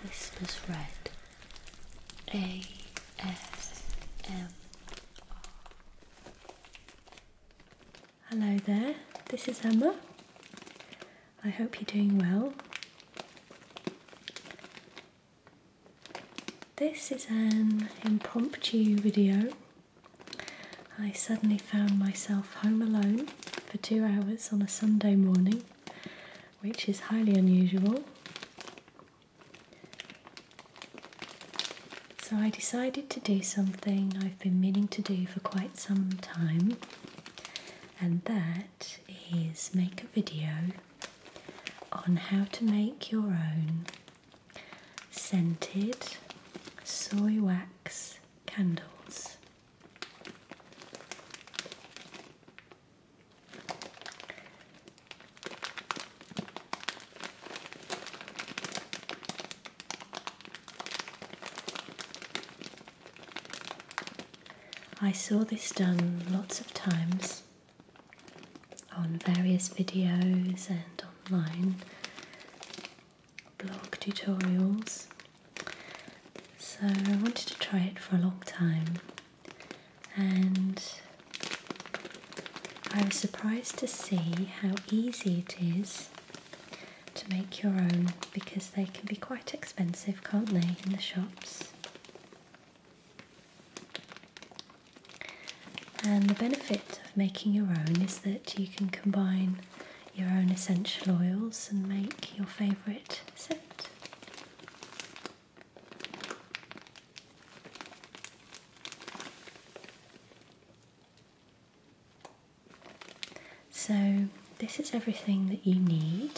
Christmas Red A S M R. Hello there, this is Emma. I hope you're doing well. This is an impromptu video. I suddenly found myself home alone for two hours on a Sunday morning which is highly unusual. So I decided to do something I've been meaning to do for quite some time, and that is make a video on how to make your own scented soy wax candles. I saw this done lots of times on various videos and online blog tutorials so I wanted to try it for a long time and I was surprised to see how easy it is to make your own because they can be quite expensive, can't they, in the shops? And the benefit of making your own is that you can combine your own essential oils and make your favourite set. So, this is everything that you need,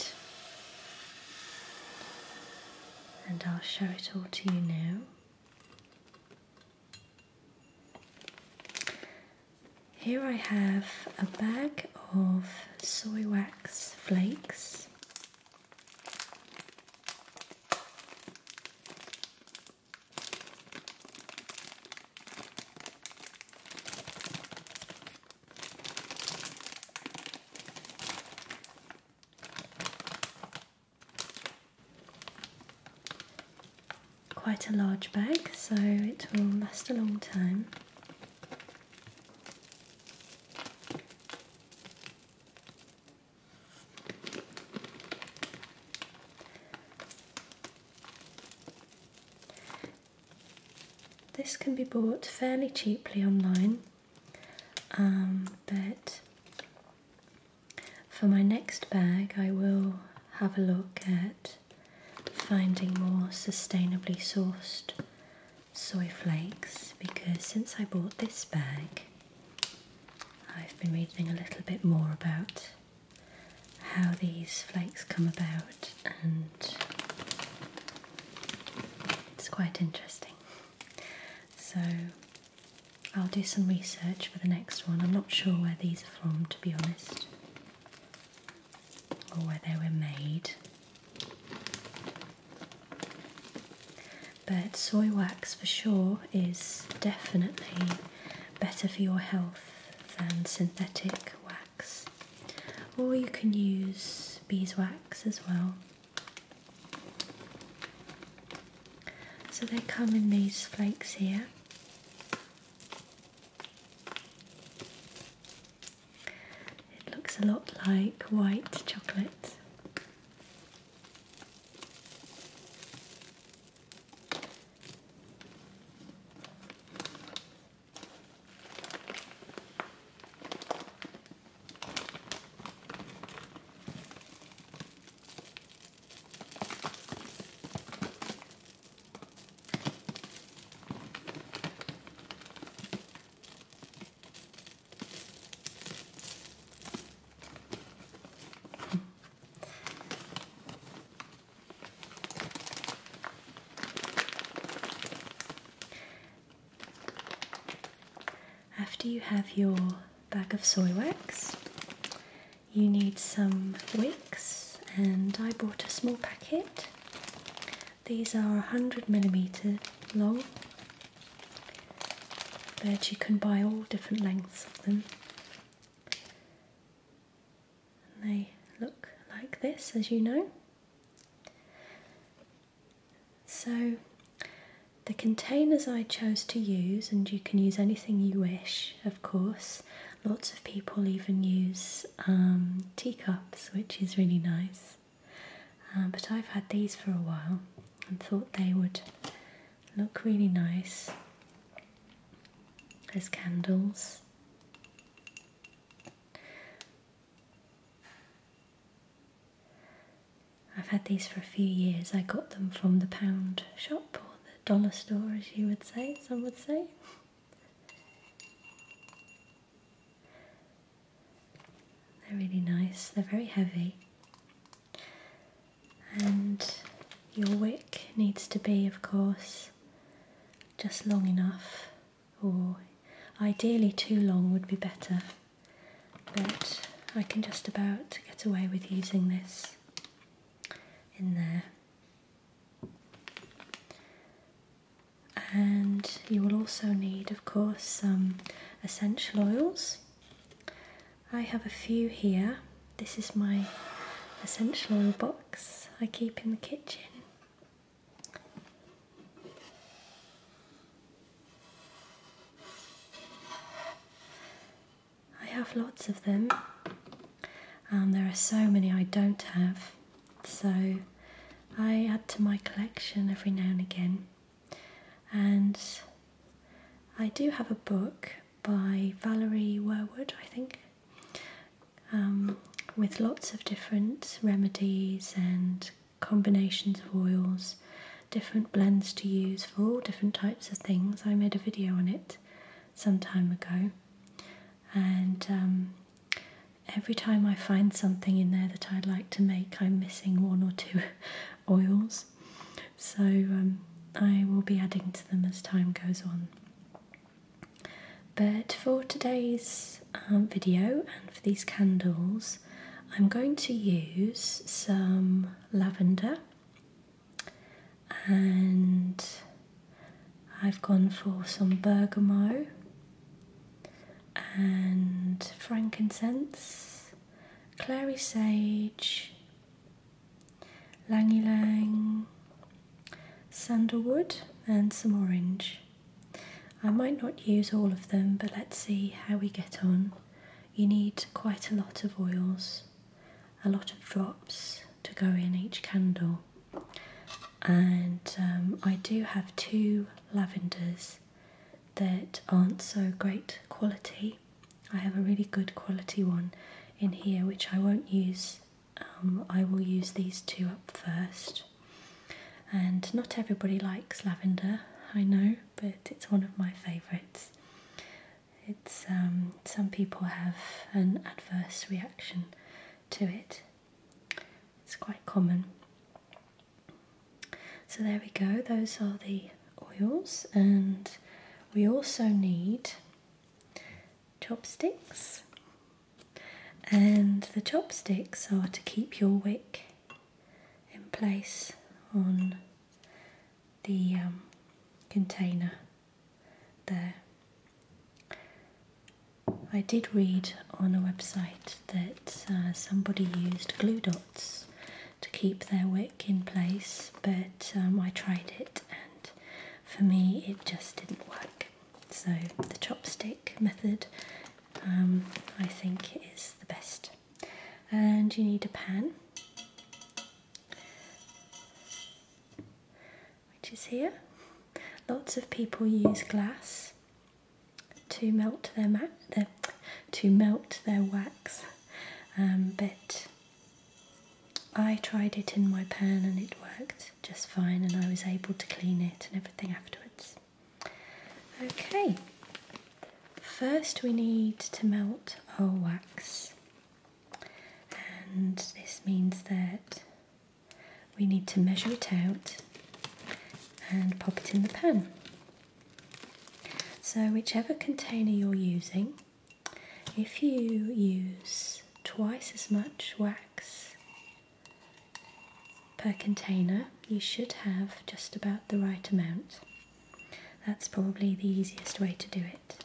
and I'll show it all to you now. Here I have a bag of soy wax flakes. Quite a large bag, so it will last a long time. This can be bought fairly cheaply online, um, but for my next bag, I will have a look at finding more sustainably sourced soy flakes because since I bought this bag, I've been reading a little bit more about how these flakes come about, and it's quite interesting. So, I'll do some research for the next one. I'm not sure where these are from, to be honest or where they were made. But soy wax for sure is definitely better for your health than synthetic wax, or you can use beeswax as well. So they come in these flakes here. It looks a lot like white chocolate. After you have your bag of soy wax, you need some wicks, and I bought a small packet these are 100 millimeter long, but you can buy all different lengths of them. they look like this, as you know. So, the containers I chose to use, and you can use anything you wish, of course. Lots of people even use um, teacups, which is really nice. Uh, but I've had these for a while and thought they would look really nice as candles. I've had these for a few years. I got them from the pound shop or the dollar store, as you would say, some would say. They're really nice, they're very heavy, and your wick needs to be, of course, just long enough, or ideally, too long would be better, but I can just about get away with using this in there and you will also need of course some essential oils I have a few here this is my essential oil box I keep in the kitchen I have lots of them and um, there are so many I don't have, so I add to my collection every now and again. And I do have a book by Valerie Werwood, I think, um, with lots of different remedies and combinations of oils, different blends to use for all different types of things. I made a video on it some time ago and um, every time I find something in there that I'd like to make, I'm missing one or two oils, so um, I will be adding to them as time goes on. But for today's um, video and for these candles, I'm going to use some lavender and I've gone for some bergamot and frankincense, clary sage, lang sandalwood, and some orange. I might not use all of them, but let's see how we get on. You need quite a lot of oils, a lot of drops, to go in each candle. And um, I do have two lavenders that aren't so great quality. I have a really good quality one in here which I won't use. Um, I will use these two up first. And not everybody likes lavender, I know, but it's one of my favourites. It's um, some people have an adverse reaction to it. It's quite common. So there we go, those are the oils, and we also need chopsticks. And the chopsticks are to keep your wick in place on the um, container there. I did read on a website that uh, somebody used glue dots to keep their wick in place, but um, I tried it and for me it just didn't work. So the chopstick method um, I think is the best. And you need a pan which is here. Lots of people use glass to melt their, to melt their wax, um, but I tried it in my pan and it worked just fine, and I was able to clean it and everything afterwards. Okay, first we need to melt our wax, and this means that we need to measure it out and pop it in the pan. So whichever container you're using, if you use twice as much wax per container, you should have just about the right amount. That's probably the easiest way to do it.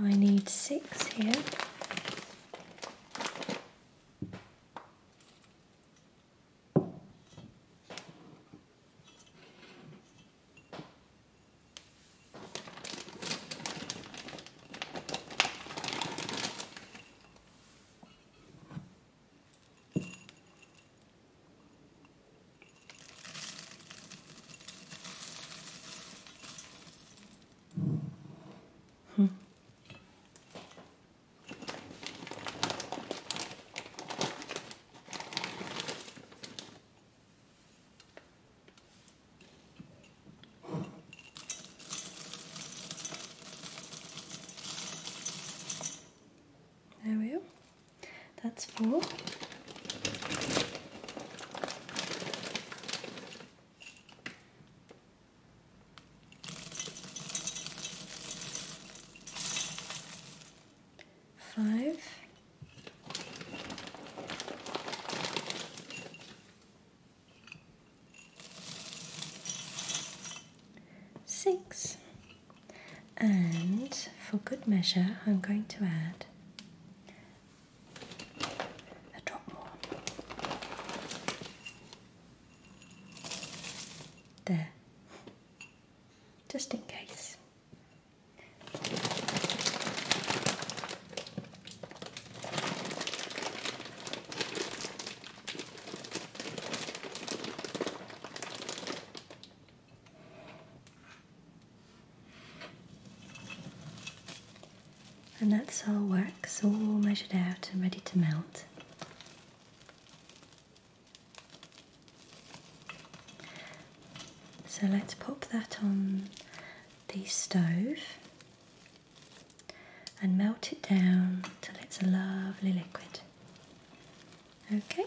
I need six here. Hmm. There we go. That's four. Five. Six. And for good measure, I'm going to add a drop more. There, just in case. And that's all wax all measured out and ready to melt. So let's pop that on the stove and melt it down till it's a lovely liquid. Okay.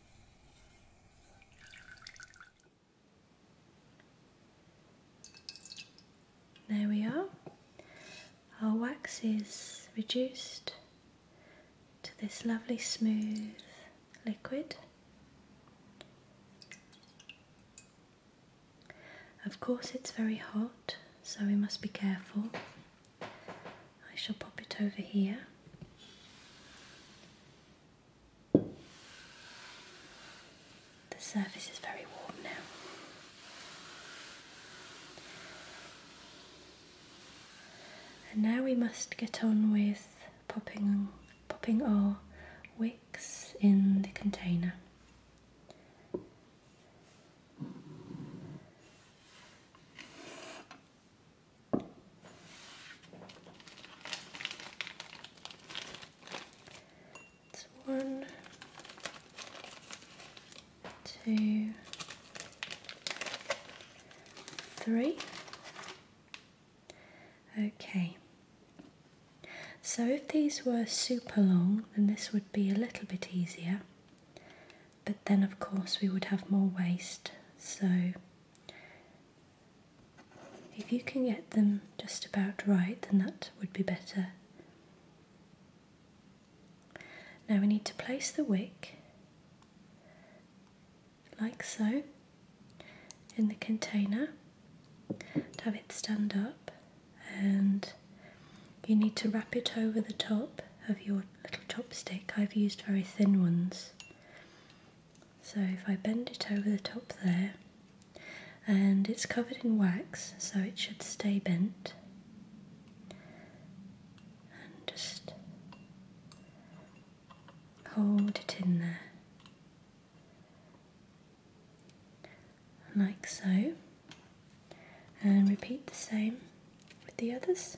There we are. Our wax is reduced to this lovely smooth liquid. Of course, it's very hot, so we must be careful I shall pop it over here. The surface is very warm now. And now we must get on with popping, popping our wicks in the container one, two, three. Okay. So if these were super long, then this would be a little bit easier but then of course we would have more waste. So if you can get them just about right, then that would be better. Now we need to place the wick like so in the container to have it stand up and you need to wrap it over the top of your little chopstick. I've used very thin ones. So if I bend it over the top there, and it's covered in wax, so it should stay bent. And just hold it in there. Like so. And repeat the same with the others.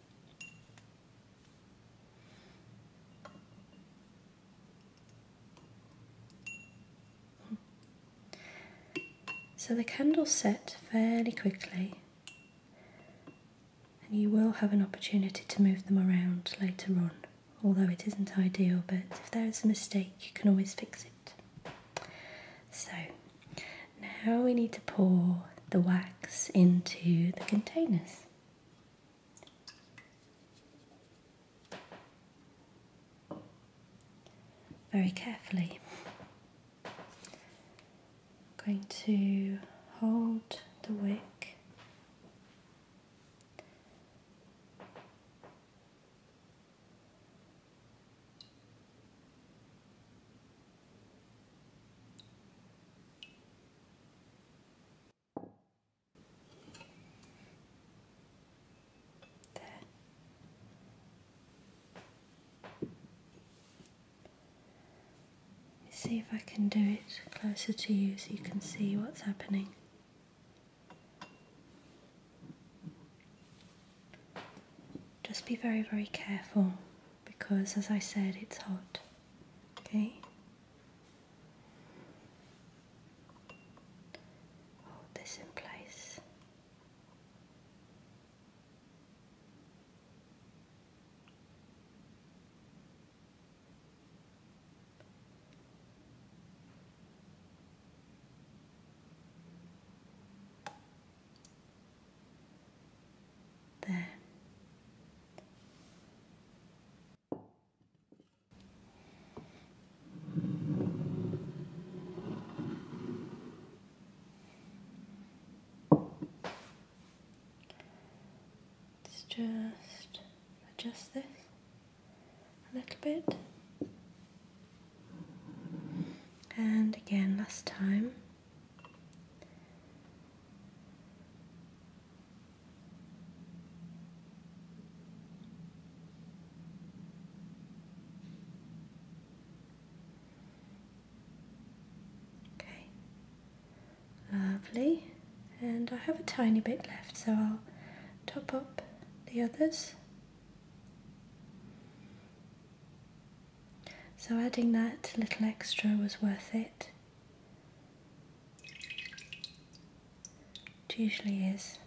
Hmm. So the candles set fairly quickly, and you will have an opportunity to move them around later on, although it isn't ideal, but if there is a mistake, you can always fix it. So now we need to pour the wax into the containers very carefully. going to hold the wick Let's see if I can do it closer to you so you can see what's happening. Just be very, very careful because as I said it's hot okay hold this in place there. Let's just adjust this a little bit. And again, last time lovely. And I have a tiny bit left, so I'll top up the others. So adding that little extra was worth it. It usually is.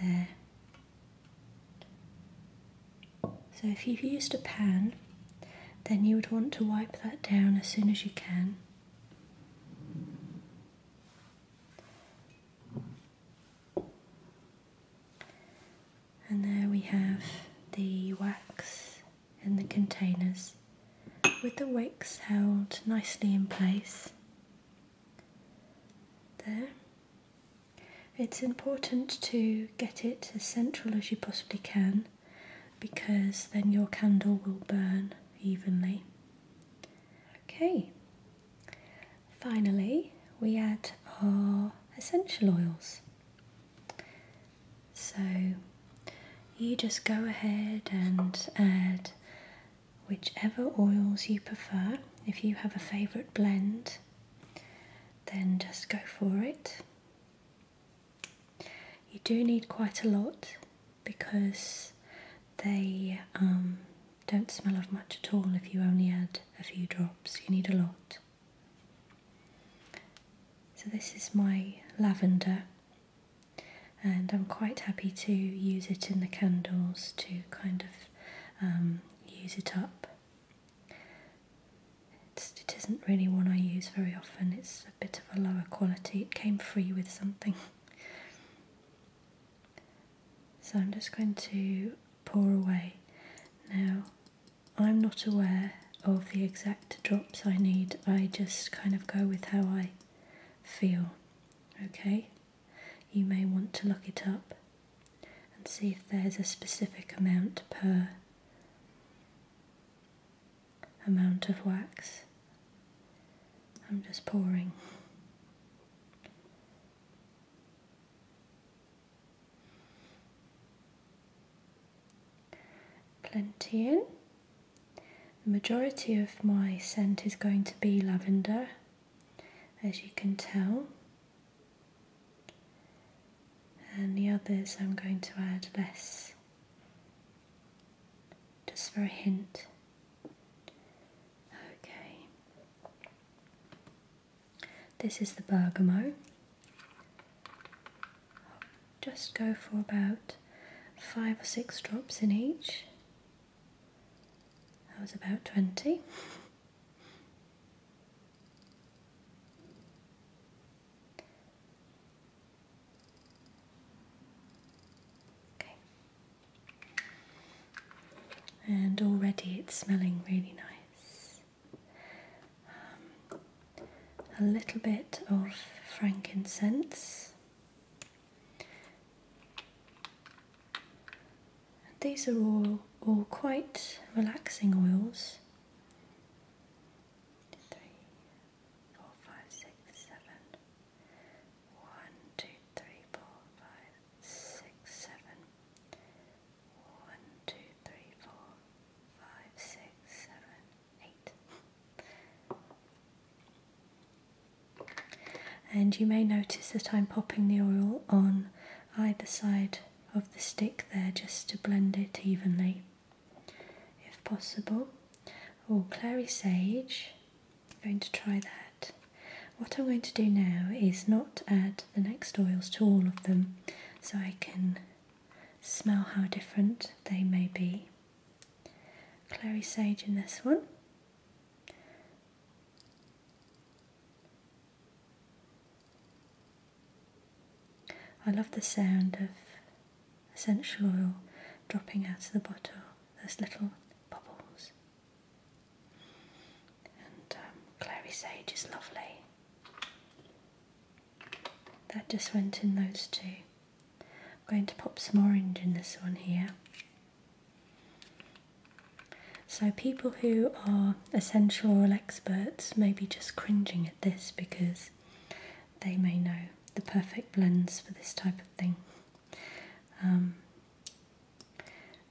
There. So if you've used a pan, then you would want to wipe that down as soon as you can. And there we have the wax in the containers with the wicks held nicely in place. There. It's important to get it as central as you possibly can because then your candle will burn evenly. Okay. Finally, we add our essential oils. So you just go ahead and add whichever oils you prefer. If you have a favourite blend, then just go for it. You do need quite a lot because they um, don't smell of much at all if you only add a few drops, you need a lot. So, this is my lavender, and I'm quite happy to use it in the candles to kind of um, use it up. it isn't really one I use very often, it's a bit of a lower quality. It came free with something. So I'm just going to pour away. Now I'm not aware of the exact drops I need, I just kind of go with how I feel, okay? You may want to look it up and see if there's a specific amount per amount of wax. I'm just pouring. Plantain. The majority of my scent is going to be lavender, as you can tell. And the others I'm going to add less, just for a hint. Okay. This is the bergamot. just go for about five or six drops in each. That was about 20. Okay and already it's smelling really nice. Um, a little bit of frankincense. these are all, all quite relaxing oils. Three, four, five, six, seven. One, two, three, four, five, six, seven one, two, three, four, five, six, seven, eight. And you may notice that I'm popping the oil on either side of the stick there just to blend it evenly if possible. Or oh, clary sage, I'm going to try that. What I'm going to do now is not add the next oils to all of them so I can smell how different they may be. Clary sage in this one. I love the sound of essential oil dropping out of the bottle, those little bubbles. And um, clary sage is lovely. That just went in those two. I'm going to pop some orange in this one here. So, people who are essential oil experts may be just cringing at this because they may know the perfect blends for this type of thing. Um,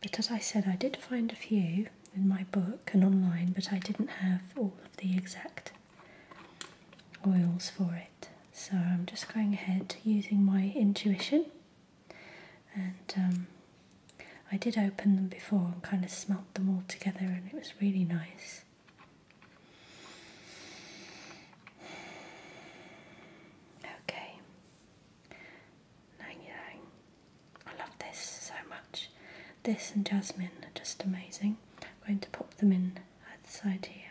but as I said, I did find a few in my book and online, but I didn't have all of the exact oils for it. So I'm just going ahead using my intuition. And um, I did open them before and kind of smelt them all together, and it was really nice. Okay, I love this so much. This and jasmine are just amazing. I'm going to pop them in at the side here.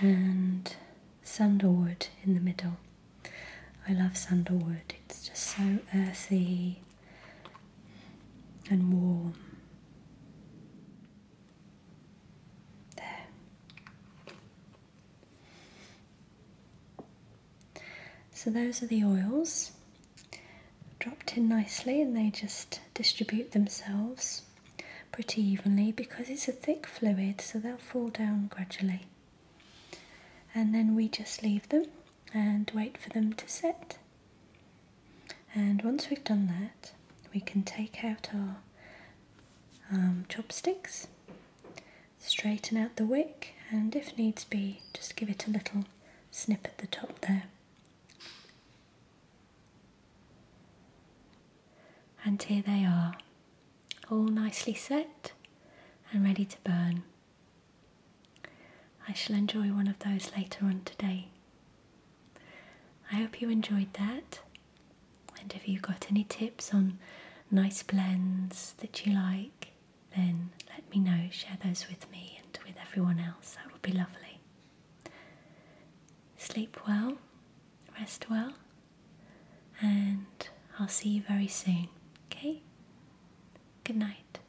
And sandalwood in the middle. I love sandalwood, it's just so earthy and warm. There. So those are the oils dropped in nicely and they just distribute themselves pretty evenly because it's a thick fluid so they'll fall down gradually and then we just leave them and wait for them to set and once we've done that we can take out our um, chopsticks, straighten out the wick and if needs be just give it a little snip at the top there. And here they are, all nicely set and ready to burn. I shall enjoy one of those later on today. I hope you enjoyed that. And if you got any tips on nice blends that you like, then let me know. Share those with me and with everyone else. That would be lovely. Sleep well, rest well, and I'll see you very soon. Okay? Good night.